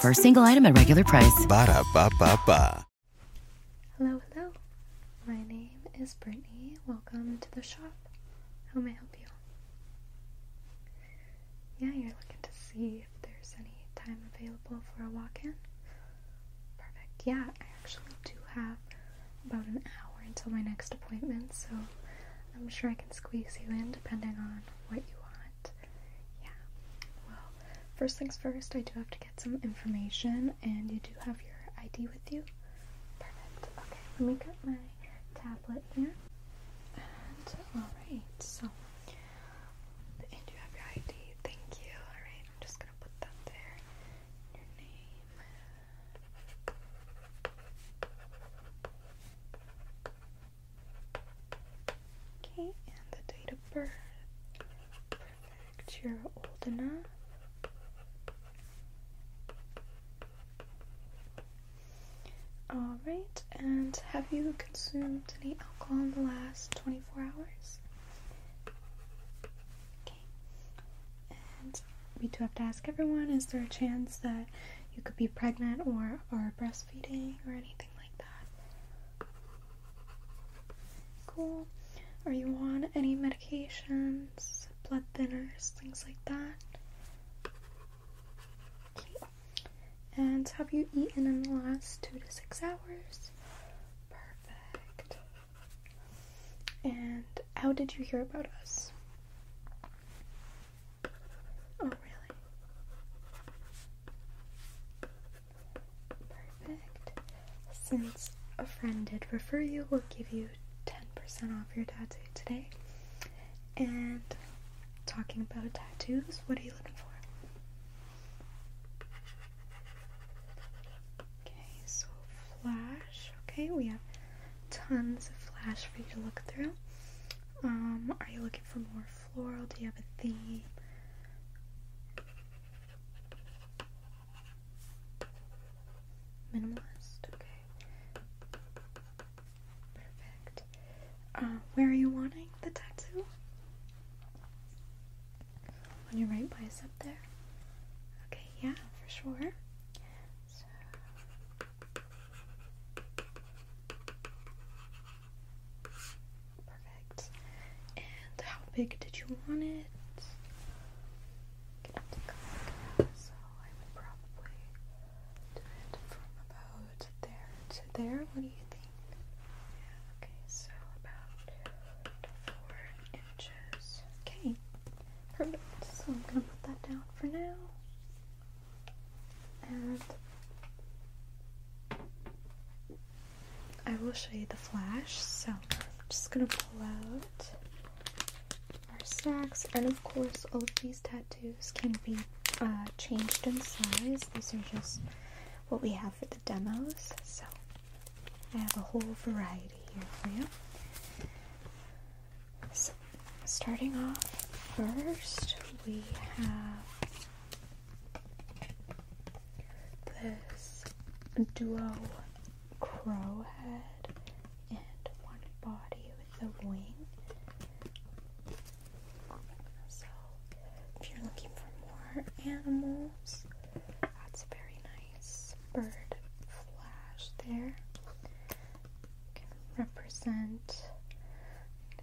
For a single item at regular price. Hello, hello. My name is Brittany. Welcome to the shop. How may I help you? Yeah, you're looking to see if there's any time available for a walk in? Perfect. Yeah, I actually do have about an hour until my next appointment, so I'm sure I can squeeze you in depending on what you want. Yeah. Well, first things first, I do have to get some information, and you do have your ID with you. Perfect. Okay, let me get my tablet here. And alright, so. And you have your ID. Thank you. Alright, I'm just gonna put that there. Your name. Okay, and the date of birth. You're old enough. Alright, and have you consumed any alcohol in the last 24 hours? Okay. And we do have to ask everyone is there a chance that you could be pregnant or are breastfeeding or anything like that. Cool. Are you on any medications, blood thinners, things like that? And have you eaten in the last two to six hours? Perfect. And how did you hear about us? Oh, really? Perfect. Since a friend did refer you, we'll give you 10% off your tattoo today. And talking about tattoos, what are you looking for? Okay, so flash. Okay, we have tons of flash for you to look through. Um, are you looking for more floral? Do you have a theme? Minimalist, okay. Perfect. Uh, where are you wanting the tattoo? On your right bicep there? Okay, yeah, for sure. Perfect. And how big did you want it? so I would probably do it from about there to there. What do you think? Yeah, okay, so about four inches. Okay, perfect. So I'm gonna put that down for now and I will show you the flash. So I'm just gonna pull out our sacks, and of course, all of these tattoos can be uh, changed in size. These are just what we have for the demos. So I have a whole variety here for you. So starting off first, we have this duo crow head and one body with a wing. So, if you're looking for more animals, that's a very nice bird flash there. Can represent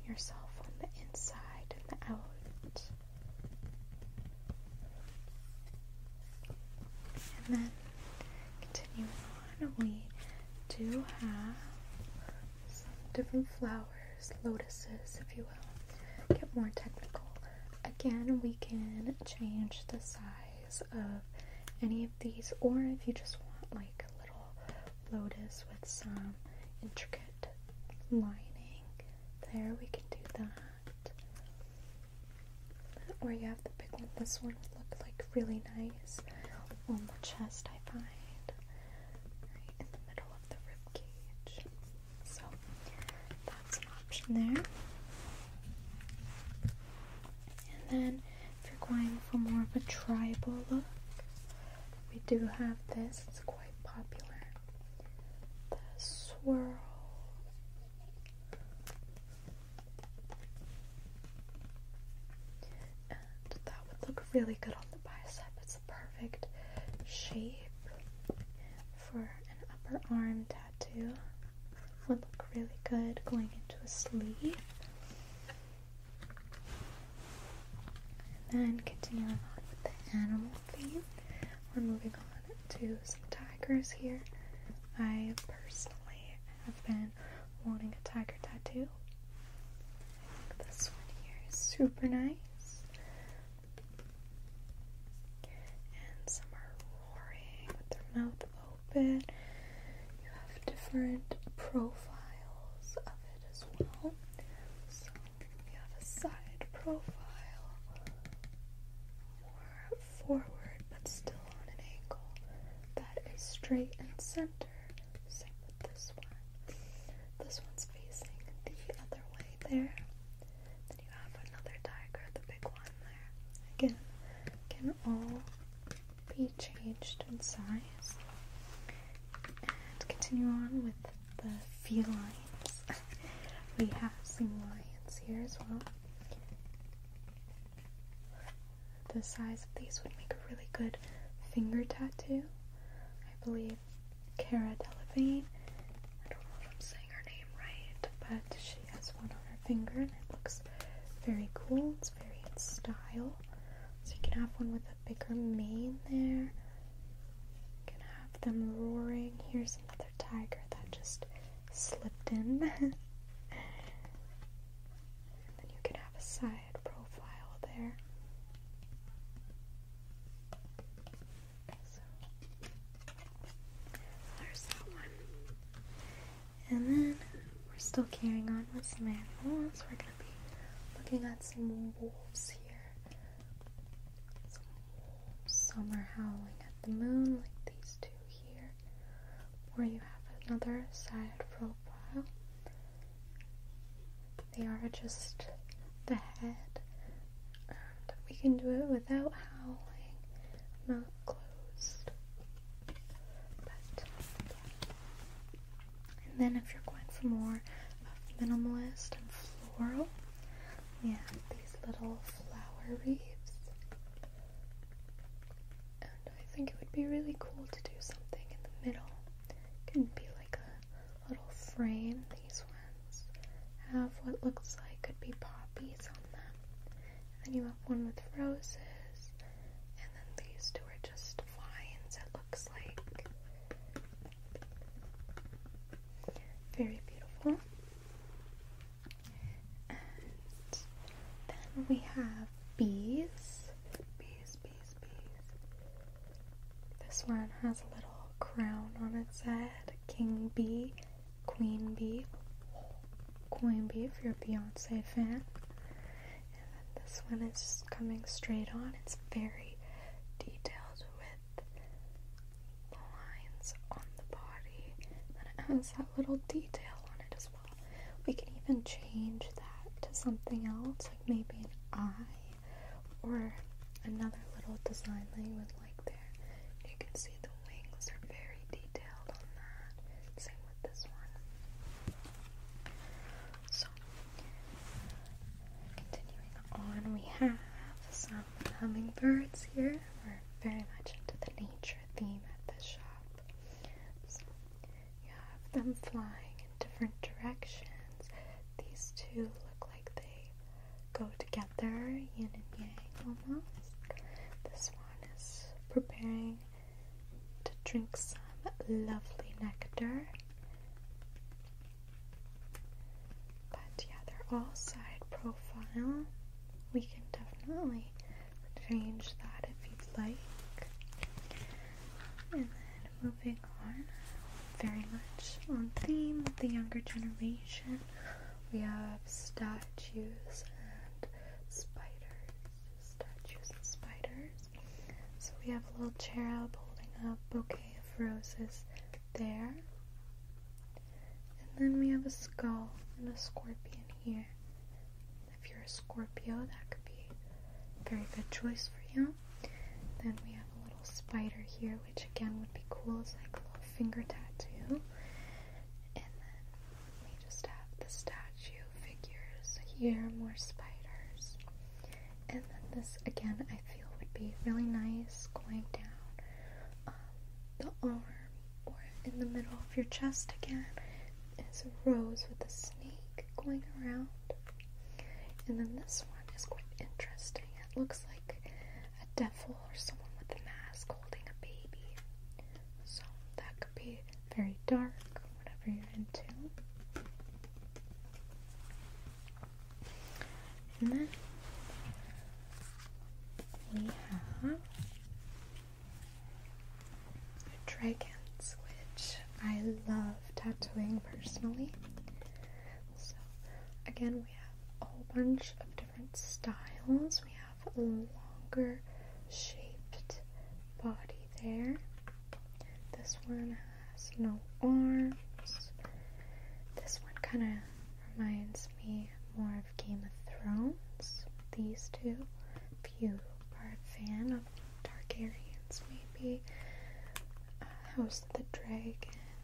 yourself on the inside and the out. And then continuing on, we do have some different flowers, lotuses, if you will. Get more technical. Again, we can change the size of any of these, or if you just want like a little lotus with some intricate lining there, we can do that. Or you have the big one, this one would look like really nice on the chest, I find, right in the middle of the rib cage. So that's an option there. And then if you're going for more of a tribal look, we do have this. It's popular. The swirl. that would look really good on the bicep. It's a perfect shape for an upper arm tattoo. Would look really good going into a sleeve. And then continuing on with the animal theme, we're moving on to some tigers here. I personally have been wanting a tiger tattoo. this one here is super nice. And some are roaring with their mouth open. You have different profiles of it as well. We have a side profile, more forward but still on an angle, that is straight and center. Same with this one. This one's facing the other way there. Then you have another tiger, the big one there. Again, can all be changed in size. And continue on with the felines. we have some lions here as well. The size of these would make a really good finger tattoo. I believe Cara Delevingne, I don't know if I'm saying her name right, but she has one on her finger and it looks very cool. It's very in style. So you can have one with bigger mane there. going have them roaring. Here's another tiger that just slipped in. then you can have a side profile there. there's that one. And then we're still carrying on with some animals. We're gonna be looking at some wolves here. Some, are howling at the moon, like these two here, or you have another side profile. They are just the head, we can do it without howling, mouth closed. But and then if you're going for more minimalist and floral, we have these little flower wreaths. And I think it would be really cool to do something in the middle. It can be like a little frame. These ones have what looks like could be poppies on them. And then you have one with roses. And then these two are just vines. It looks like. Very beautiful. And then we have bees. Bees, bees, bees. This one has a little crown on its head. King bee, queen bee, queen bee if you're a Beyonce fan. And then this one is coming straight on. It's very detailed, with the lines on the body, and it has that little detail on it as well. We can even change that to something else, like maybe an eye or another little design that you would like there. You can see the wings are very detailed on that. Same with this one. Continuing on, we have some hummingbirds here. We're very much into the nature theme at the shop. So you have them flying in different directions. These two look like they go together, yin and yang almost. This one is preparing to drink some lovely nectar. But yeah, they're all side profile. We can definitely change that if you'd like. And then moving on, very much on theme with the younger generation, we have statues and spiders. Statues and spiders. So we have a little cherub holding a bouquet roses there. And then we have a skull and a scorpion here. If you're a Scorpio, that could be a very good choice for you. Then we have a little spider here, which again would be cool as like a little finger tattoo. And then we just have the statue figures here, more spiders. And then this again, I feel would be really nice going down um, the arm or in the middle of your chest again. Is a rose with a snake going around. And then this one is quite interesting. It looks like a devil or someone with a mask holding a baby. So that could be very dark, whatever you're into. And then we have dragons, which I love tattooing personally. So, again, we have a whole bunch of different styles. We have a longer shaped body there. This one has no arms. This one kind of reminds me more of Game of Thrones. These two, if you are a fan of Targaryens, maybe. Uh, House the Dragon.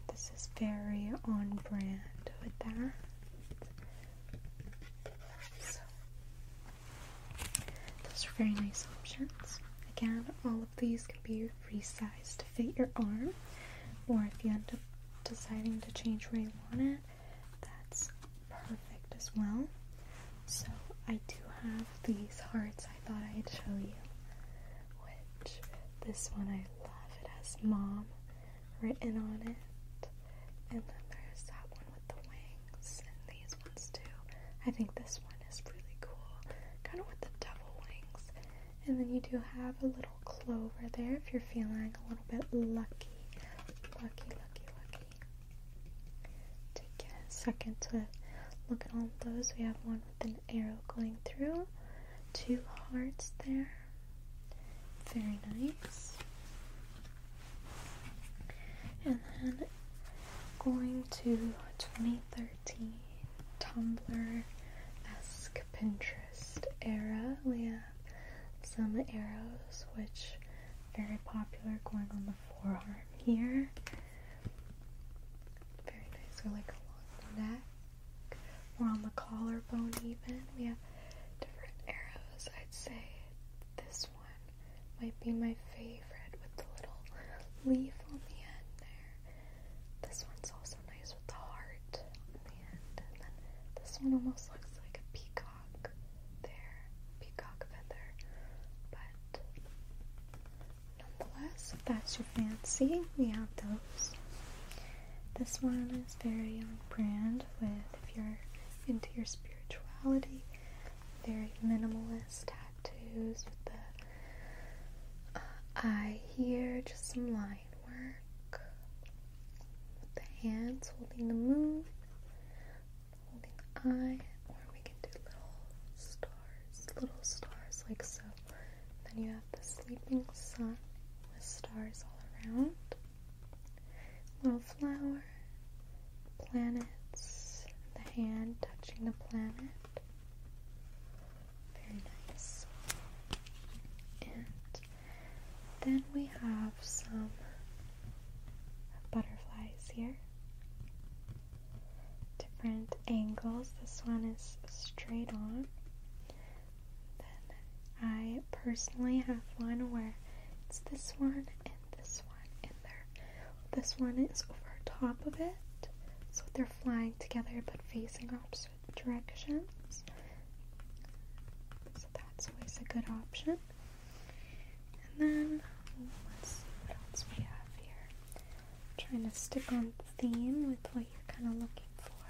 This is very on brand with that. those are very nice options. Again, all of these can be resize to fit your arm, or if you end up deciding to change where you want it, that's perfect as well. So I do have these hearts I thought I'd show you, which this one I love. It has mom written on it, and then there's that one with the wings, and these ones too. I think this one is really cool, kind of with the devil wings, and then you do have a little clover there if you're feeling a little bit lucky. Lucky, lucky, lucky. Take a second to look at all those. We have one with an arrow going through, two hearts there. Very nice. And then going to 23rd Tumblr esque Pinterest era. We have some arrows, which very popular, going on the forearm here. Very nice, or like along the neck, or on the collarbone, even. We have different arrows. I'd say this one might be my favorite with the little leaf on the end there. This one's also nice with the heart on the end. And then this one almost looks like a peacock there. Peacock feather. But nonetheless, if that's your fancy, we have those. This one is very on brand with if you're into your spirituality. Very minimalist tattoos with the I hear just some line work with the hands holding the moon, holding the eye, or we can do little stars, little stars like so. Then you have the sleeping sun with stars all around, little flower, planets, the hand touching the planet. Very nice. And then we have some butterflies here. Different angles. This one is straight on. Then I personally have one where it's this one and this one, and they this one is over top of it, so they're flying together but facing opposite directions. So that's always a good option. And then let's see what else we have here. trying to stick on theme with what you're kind of looking for.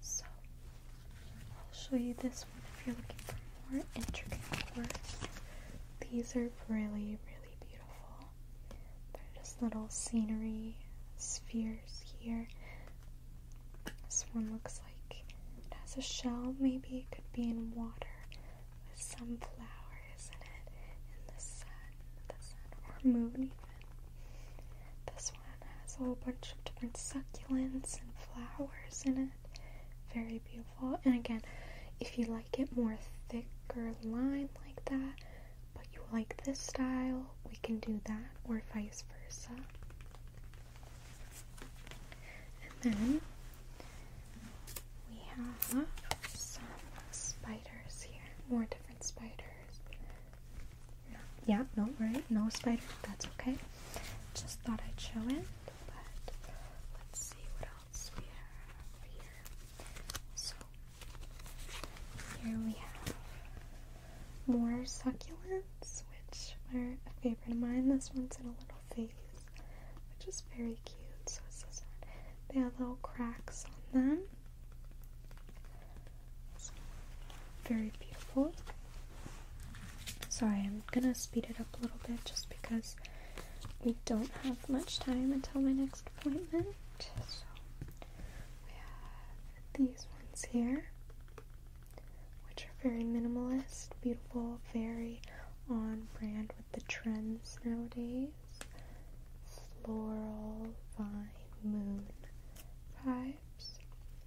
So I'll show you this one if you're looking for more intricate work. These are really, really really beautiful. There just little scenery spheres here. This one looks like it has a shell, maybe it could be in water with some flowers in it, in the sun, the sun or moon even. This one has a whole bunch of different succulents and flowers in it. Very beautiful. And again, if you like it more thicker line like that, but you like this style, we can do that, or vice versa. And then we have some spiders here, more different spiders. yeah, no, right, no spider, that's okay. Just thought I'd show it, but let's see what else we have here. So here we have more succulents, which are a favorite of mine. This one's in a little vase, which is very cute. So it's so one. They have little cracks on them. So, very beautiful. Sorry, I'm gonna speed it up a little bit just because we don't have much time until my next appointment. So we have these ones here, which are very minimalist, beautiful, very on brand with the trends nowadays. Floral, vine, moon vibes.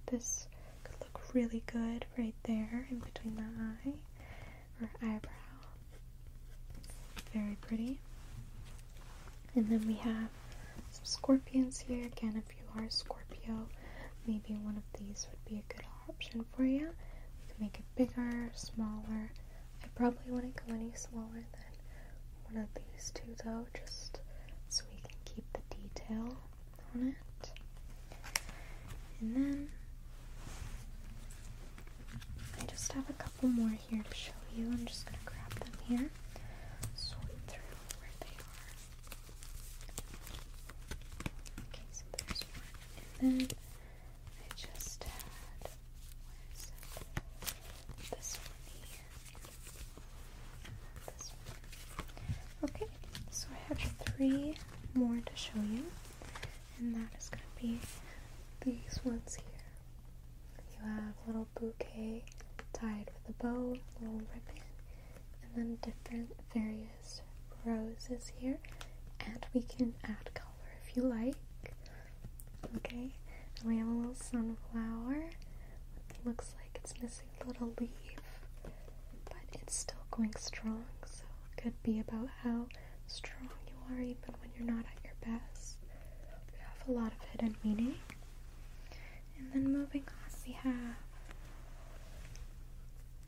This could look really good right there in between the eye or eyebrow. Very pretty. And then we have some scorpions here. Again, if you are a Scorpio, maybe one of these would be a good option for you. You can make it bigger, smaller. I probably wouldn't go any smaller than one of these two though, just so we can keep the detail on it. And then I just have a couple one more here to show you. I'm just gonna grab them here, sort through where they are. Okay, so there's one, and then I just had This one here, Okay, so I have three more to show you, and that is gonna be these ones here. You have little bouquet tied with a bow, little ribbon, and then different various roses here. And we can add color if you like. Okay, and we have a little sunflower. looks like it's missing a little leaf, but it's still going strong, so could be about how strong you are even when you're not at your best. You have a lot of hidden meaning. And then moving on, we have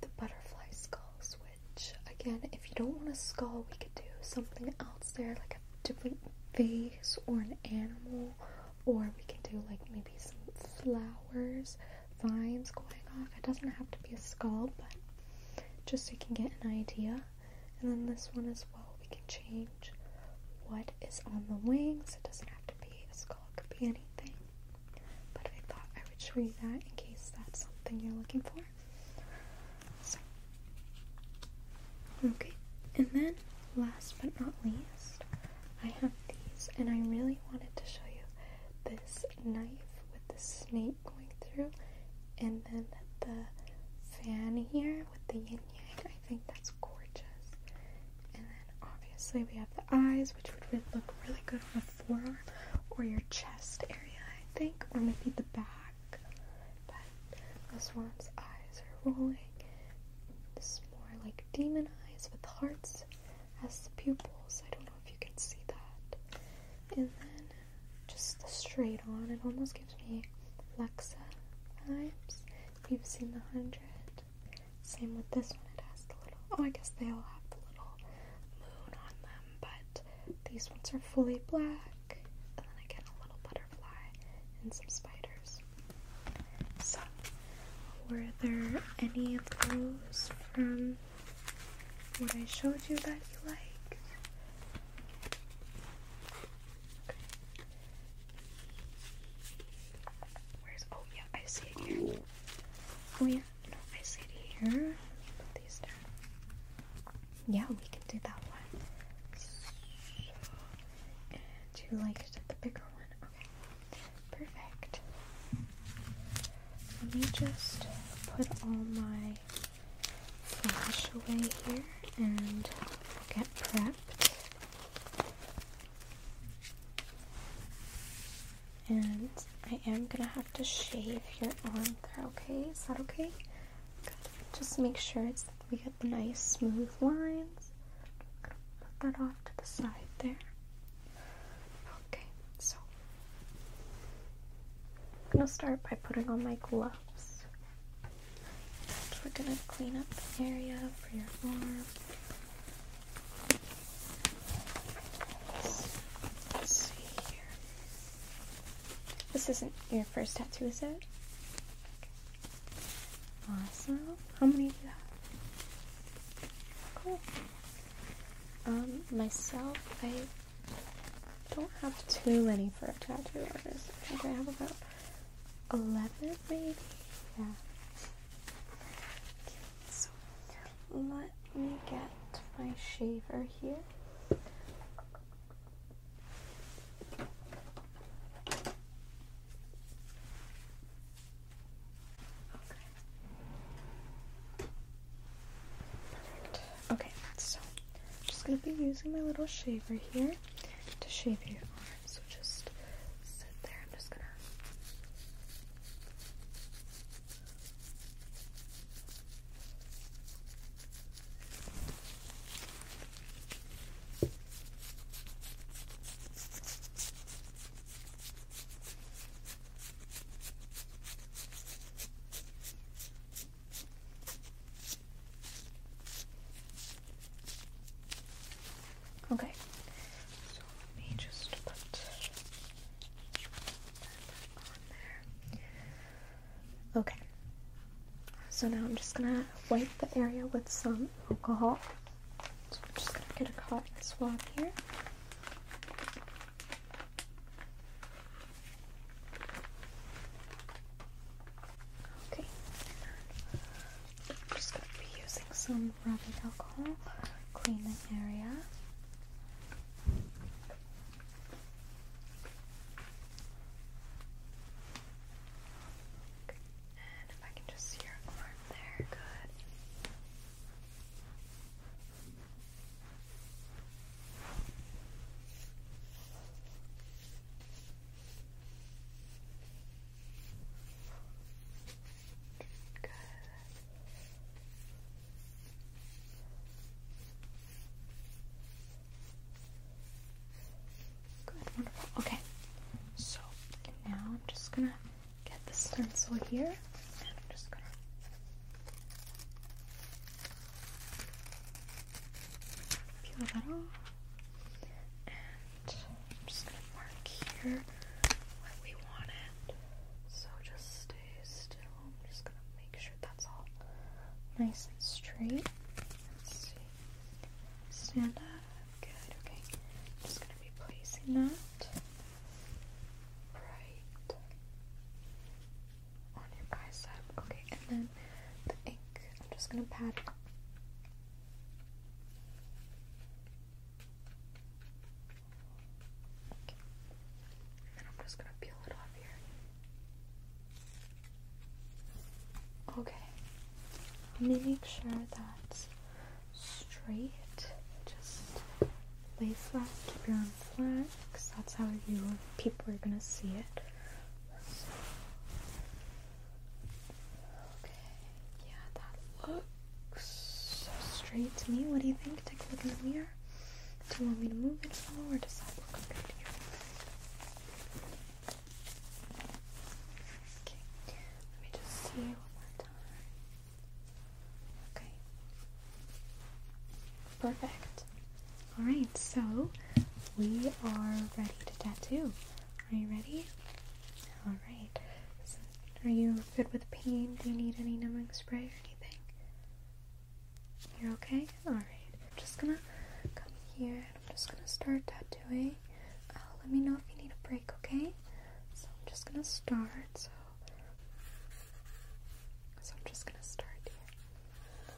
the butterfly skulls, which again, if you don't want a skull, we could do something else there, like a different face or an animal, or we can do like maybe some flowers, vines going off. It doesn't have to be a skull, but just so you can get an idea. And then this one as well, we can change what is on the wings. It doesn't have to be a skull, it could be anything. But I thought I would show you that in case that's something you're looking for. So, okay. And then, last but not least, I have these, and I really wanted to show you this knife with the snake going through, and then the fan here with the yin yang. I think that's gorgeous. And then obviously we have the eyes, which would look really good on the forearm or your chest area, I think, or maybe the back. But the swan's eyes are rolling. This is more like demon eyes with hearts as the pupils. I don't know if you can see that. And then just the straight on, it almost gives me Lexa vibes. You've seen the hundred. Same with this one. It has the little. Oh, I guess they all have the little moon on them, but these ones are fully black. And then again, a little butterfly and some spiders. So, were there any of those from what I showed you that you liked? Where's oh yeah, I see it here. Oh yeah, no, I see it here. these down. Yeah, we can do that one. and you like the bigger one. Okay. Perfect. Let me just put all my flash away here and get prepped. And I am gonna have to shave your arm there, okay? Is that okay? Just make sure it's that we get the nice smooth lines. put that off to the side there. Okay, so I'm gonna start by putting on my gloves we're gonna clean up the area for your arm. Let's, see here. This isn't your first tattoo, is it? Awesome. How many do you have? Cool. Um, myself, I don't have too many for a tattoo artist. I have about 11 maybe? Yeah. let me get my shaver here. Okay. Okay, so I'm just gonna be using my little shaver here to shave you. So just sit there. I'm just gonna. Okay, so let me just put that on there. Okay, so now I'm just gonna wipe the area with some alcohol. So I'm just gonna get a cotton swab here. Okay. just going to be using some rubbing alcohol, clean the area. And if I can just see your arm there, good. Good. Good, wonderful. Okay, so now I'm just gonna get this stencil here, and I'm just gonna. Peel that off, I'm just gonna mark here where we want it. So just stay still. I'm just gonna make sure that's all nice and straight. Let's see. Stand up. Good. Okay. I'm just gonna be placing that right on your bicep. Okay. And then the ink. I'm just gonna pat Okay. And then I'm just gonna peel it off here. Okay. Make sure that's straight. Just lay flat, keep your arms flat, because that's how you people are gonna see it. Okay, yeah, that looks straight to me. What do you think? Take a look in the mirror. Do you want me to move it forward? Does that look okay to you? Okay, let me just see one more time. Okay, perfect. Alright, so we are ready to tattoo. Are you ready? Alright. are you good with pain? Do you need any numbing spray or anything? You're okay? Alright. I'm just gonna come here and I'm just gonna start tattooing. Uh, let me know if you need a break, okay? So I'm just gonna start. So, so I'm just gonna start here.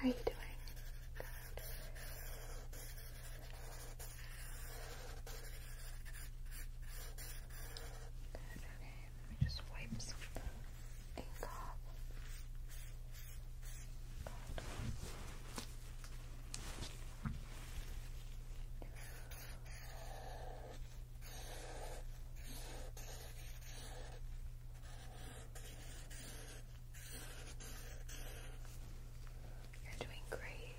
How are you doing? Good. Good, let me just wipe some ink off. You're doing great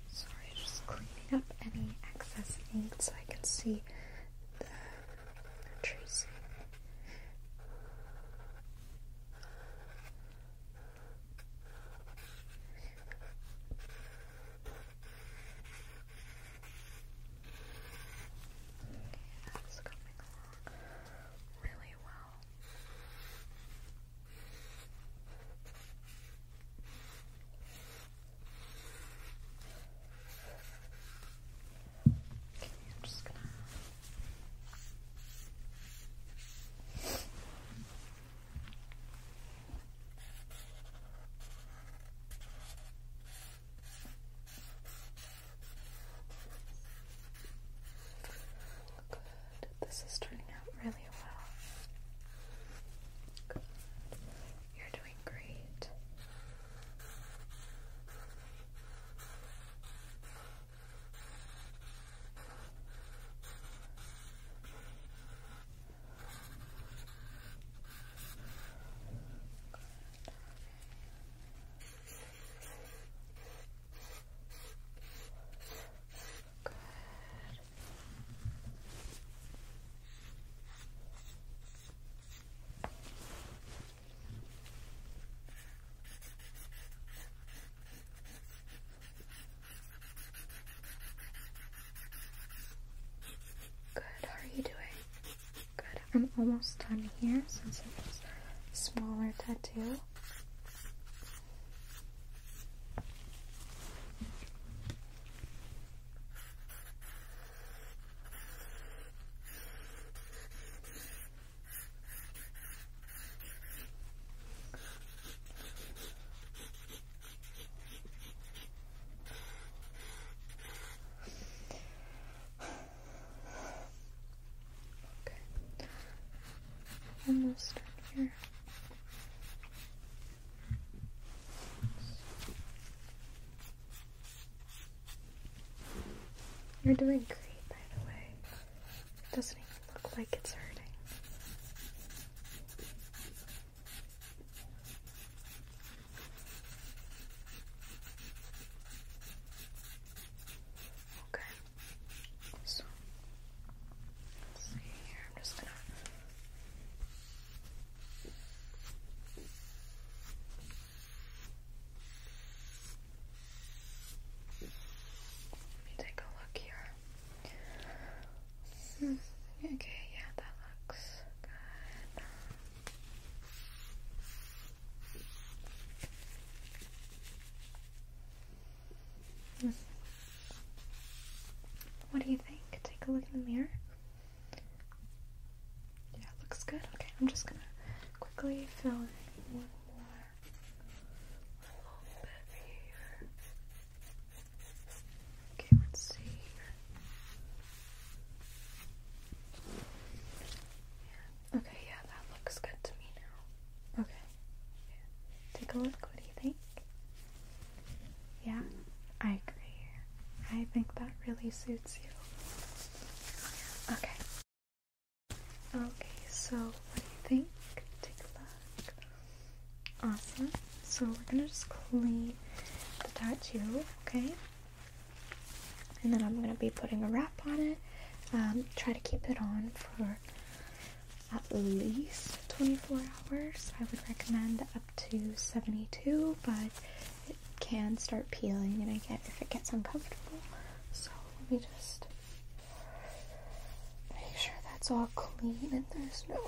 Sorry, just cleaning up any excess ink so I can see the tracing. Okay, that's coming along really well. Okay, I'm just gonna Good. This is turning out really well. You're doing great. Good. Good, how are you doing? Good, I'm almost done here since it's a smaller tattoo. Okay. Almost done here. You're doing great, by the way. It doesn't even look like it's hurting. Okay. So, let's see here. I'm just gonna take a look here. Hmm, okay, yeah, that looks good. Hmm. What do you think? Take a look in the mirror. Yeah, looks good. Okay, I'm just gonna quickly fill in one more little bit here. Okay, let's see Okay, yeah, that looks good to me now. Okay. Take a look, what do you think? Yeah, I agree. I think that really suits you. Okay. Okay, so what do you think? Take a look. Awesome. So we're gonna just clean the tattoo, okay? And then I'm gonna be putting a wrap on it. Um, try to keep it on for at least 24 hours. I would recommend to 72, but it can start peeling and again, if it gets uncomfortable. So let me just make sure that's all clean and there's no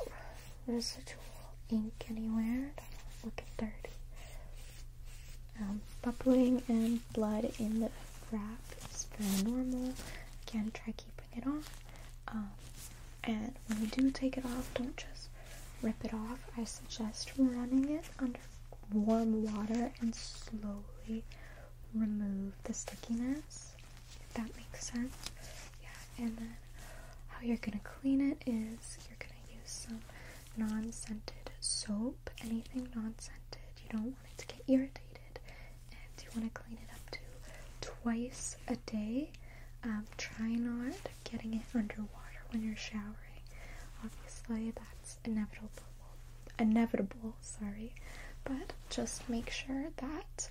residual ink anywhere. Don't look dirty. Um, bubbling and blood in the wrap is very normal. Again, try keeping it on. Um, and when you do take it off, don't just rip it off. I suggest running it under warm water and slowly remove the stickiness, if that makes sense. Yeah, and then how you're gonna clean it is you're gonna use some non scented soap, anything non scented. You don't want it to get irritated, and you wanna clean it up to twice a day. Um, try not getting it underwater when you're showering. Obviously, that's inevitable. Inevitable, sorry. But just make sure that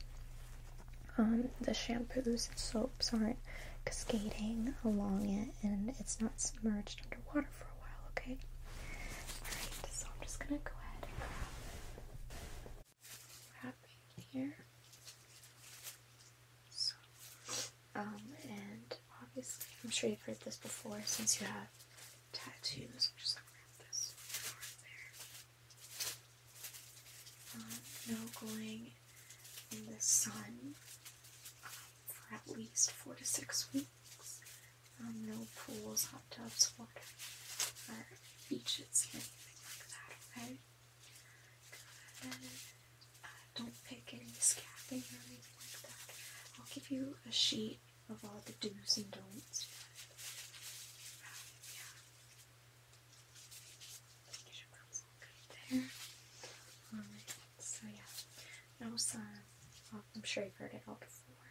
um, the shampoos and soaps aren't cascading along it and it's not submerged underwater for a while, okay? Alright, so I'm just gonna go ahead and grab, here. Um, and obviously, I'm sure you've heard this before since you have tattoos. Um, no going in the sun um, for at least four to six weeks. no pools, hot tubs, water, beaches, anything like that, okay? don't pick any scabbing or anything like that. I'll give you a sheet of all the do's and don'ts. yeah. Get your pencil good there. so yeah. Now, um, I'm sure you've heard it all before.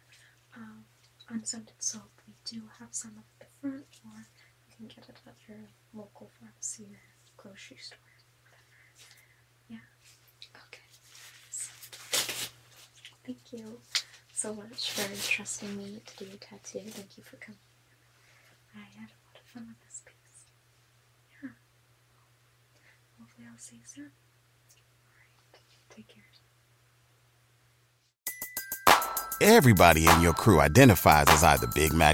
Um, unscented soap, we do have some at the front, or you can get it at your local pharmacy or grocery store. Yeah. Okay. thank you so much for trusting me to do your tattoo. Thank you for coming. I had a lot of fun with this piece. Yeah. Hopefully, I'll see you soon. Take care. Everybody in your crew identifies as either Big Mac